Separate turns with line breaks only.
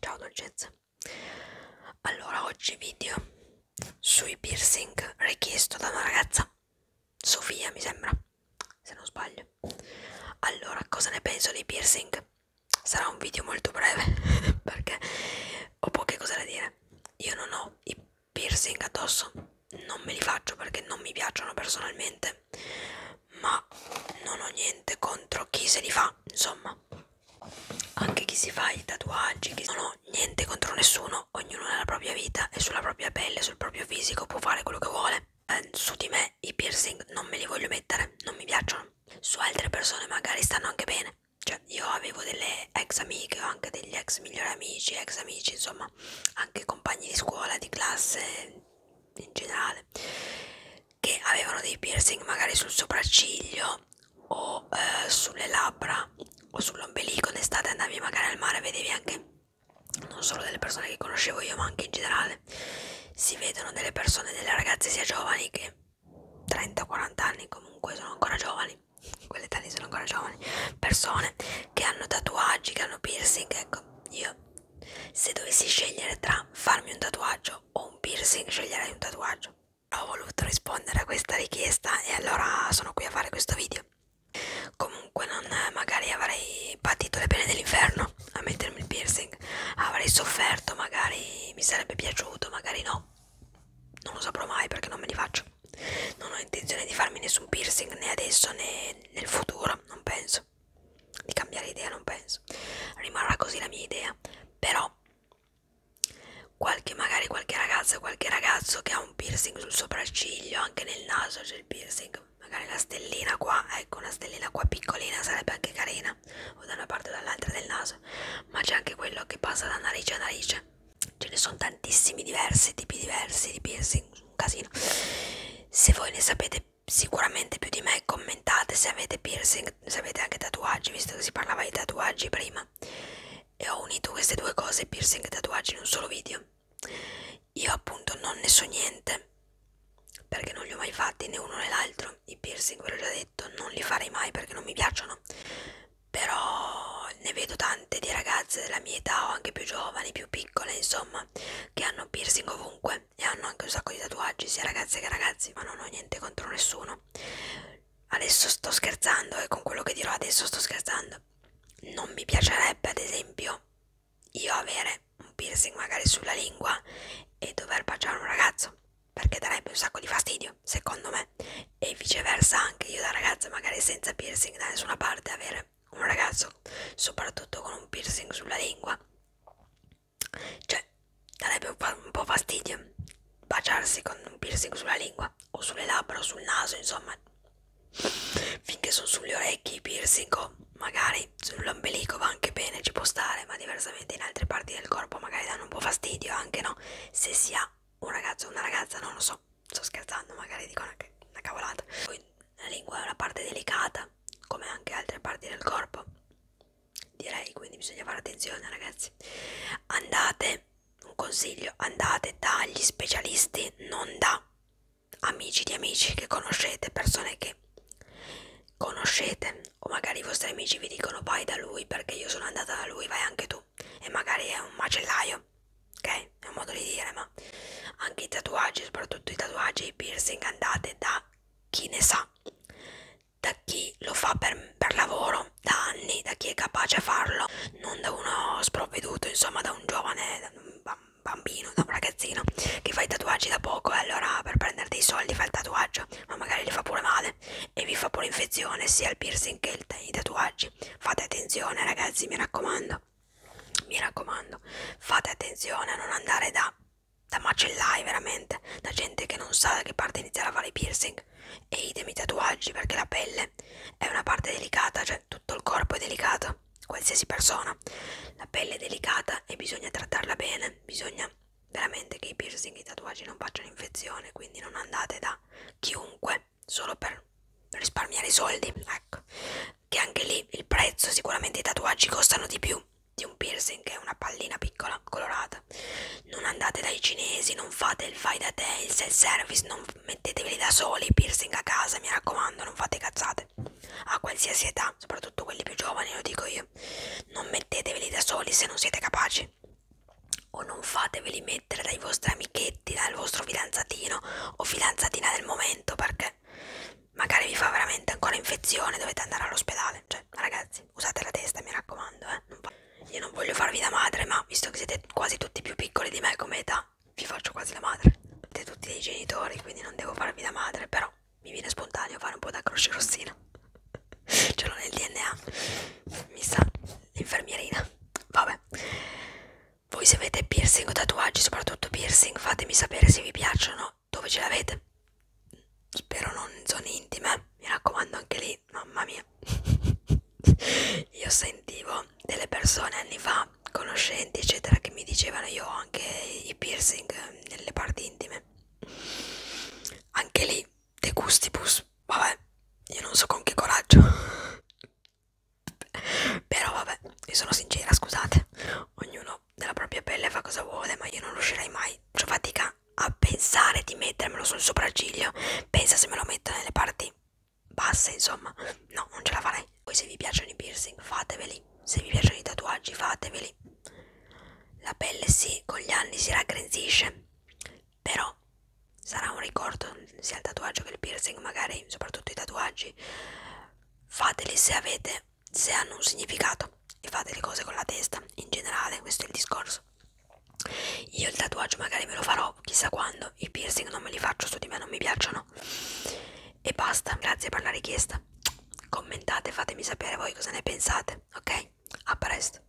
Ciao dolcezze. Allora, oggi video sui piercing richiesto da una ragazza, Sofia mi sembra, se non sbaglio. Allora, cosa ne penso dei piercing? Sarà un video molto breve perché ho poche cose da dire io non ho i piercing addosso non me li faccio perché non mi piacciono personalmente ma non ho niente contro chi se li fa insomma anche chi si fa i tatuaggi chi... non ho niente contro nessuno ognuno nella propria vita e sulla propria pelle sul proprio fisico può fare quello che vuole eh, su di me i piercing non me li voglio mettere non mi piacciono su altre persone magari stanno anche bene cioè io avevo delle ex amiche o anche degli ex migliori amici, ex amici, insomma, anche compagni di scuola, di classe in generale, che avevano dei piercing magari sul sopracciglio o eh, sulle labbra o sull'ombelico. D'estate andavi magari al mare, vedevi anche non solo delle persone che conoscevo io, ma anche in generale si vedono delle persone, delle ragazze sia giovani che 30-40 anni comunque sono ancora giovani quelle tali sono ancora giovani persone che hanno tatuaggi che hanno piercing ecco io se dovessi scegliere tra farmi un tatuaggio o un piercing sceglierei un tatuaggio ho voluto rispondere a questa richiesta e allora sono qui a fare questo video comunque non magari avrei patito le pene dell'inferno a mettermi il piercing avrei sofferto magari mi sarebbe piaciuto magari no non lo saprò mai perché non me li faccio non ho intenzione di farmi nessun piercing né adesso né nel futuro non penso di cambiare idea non penso rimarrà così la mia idea però qualche magari qualche ragazza qualche ragazzo che ha un piercing sul sopracciglio anche nel naso c'è il piercing magari la stellina qua ecco una stellina qua piccolina sarebbe anche carina o da una parte o dall'altra del naso ma c'è anche quello che passa da narice a narice ce ne sono tantissimi diversi tipi diversi di piercing un casino se voi ne sapete sicuramente più di me commentate se avete piercing se avete anche tatuaggi visto che si parlava di tatuaggi prima e ho unito queste due cose piercing e tatuaggi in un solo video io appunto non ne so niente perché non li ho mai fatti né uno né l'altro i piercing ve l'ho già detto non li farei mai perché non mi piacciono però ne vedo tante di ragazze della mia età o anche più giovani, più piccole, insomma, che hanno piercing ovunque e hanno anche un sacco di tatuaggi, sia ragazze che ragazzi, ma non ho niente contro nessuno. Adesso sto scherzando e con quello che dirò adesso sto scherzando. Non mi piacerebbe, ad esempio, io avere un piercing magari sulla lingua e dover baciare un ragazzo perché darebbe un sacco di fastidio, secondo me, e viceversa anche io da ragazza, magari senza piercing da nessuna parte, avere un ragazzo, soprattutto con un piercing sulla lingua, cioè darebbe un po' fastidio baciarsi con un piercing sulla lingua o sulle labbra o sul naso, insomma, finché sono sulle orecchie i piercing o magari sull'ombelico va anche bene, ci può stare, ma diversamente in altre parti del corpo magari danno un po' fastidio, anche no, se si ha un ragazzo o una ragazza, non lo so, sto scherzando, magari dico una, una cavolata. Poi la lingua è una parte delicata, come anche altre parti del corpo, direi, quindi bisogna fare attenzione ragazzi. Andate, un consiglio, andate dagli specialisti, non da amici di amici che conoscete, persone che conoscete o magari i vostri amici vi dicono vai da lui perché io sono andata da lui, vai anche tu senso e magari è un macellaio ok è un modo di dire ma anche i tatuaggi soprattutto i tatuaggi e i piercing andate da chi ne sa da chi lo fa per, per lavoro da anni da chi è capace a farlo non da uno sprovveduto insomma da un giovane da un bambino da un ragazzino che fa i tatuaggi da poco e allora per prendere dei soldi fa il tatuaggio ma magari li fa pure male infezione e vi fa pure infezione sia il piercing che il, i tatuaggi fate attenzione ragazzi mi raccomando mi raccomando fate attenzione a non andare da, da macellai veramente da gente che non sa da che parte iniziare a fare i piercing e idem i tatuaggi perché la pelle è una parte delicata cioè tutto il corpo è delicato qualsiasi persona la pelle è delicata e bisogna trattarla bene bisogna veramente che i piercing e i tatuaggi non facciano infezione quindi non andate da a chiunque solo per risparmiare i soldi, ecco. Che anche lì il prezzo, sicuramente i tatuaggi costano di più di un piercing che è una pallina piccola colorata. Non andate dai cinesi, non fate il fai da te, il self service, non metteteveli da soli i piercing a casa, mi raccomando, non fate cazzate. A qualsiasi età, soprattutto quelli più giovani, lo dico io. Non metteteveli da soli se non siete capaci fate o non fateveli mettere dai vostri amichetti, dal vostro fidanzatino o fidanzatina del momento perché magari vi fa veramente ancora infezione, dovete andare all'ospedale. Cioè, ragazzi, usate la testa, mi raccomando. Eh. Non Io non voglio farvi da madre, ma visto che siete quasi tutti più piccoli di me come età, vi faccio quasi la madre. Siete tutti dei genitori, quindi non devo farvi da madre, però mi viene spontaneo fare un po' da croce rossina ce l'ho nel DNA, mi sa, infermierina, vabbè. Voi se avete piercing o tatuaggi, soprattutto piercing, fatemi sapere se vi piacciono, dove ce l'avete. Spero non in zone intime, mi raccomando anche lì, mamma mia. Io sentivo delle persone anni fa, conoscenti eccetera, che mi dicevano io ho anche i piercing nelle parti intime. Anche lì De Gustibus, vabbè, io non so con che coraggio. Però vabbè, io sono sincera, scusate. Ognuno della propria pelle fa cosa vuole, ma io non riuscirei mai. Ho fatica a pensare di mettermelo sul sopracciglio. Pensa se me lo metto nelle parti basse, insomma. No, non ce la farei. Poi se vi piacciono i piercing, fateveli. Se vi piacciono i tatuaggi, fateveli. La pelle sì, con gli anni si raggrinzisce però sarà un ricordo sia il tatuaggio che il piercing magari soprattutto i tatuaggi fateli se avete se hanno un significato e fate le cose con la testa in generale questo è il discorso io il tatuaggio magari me lo farò chissà quando i piercing non me li faccio su di me non mi piacciono e basta grazie per la richiesta commentate fatemi sapere voi cosa ne pensate ok a presto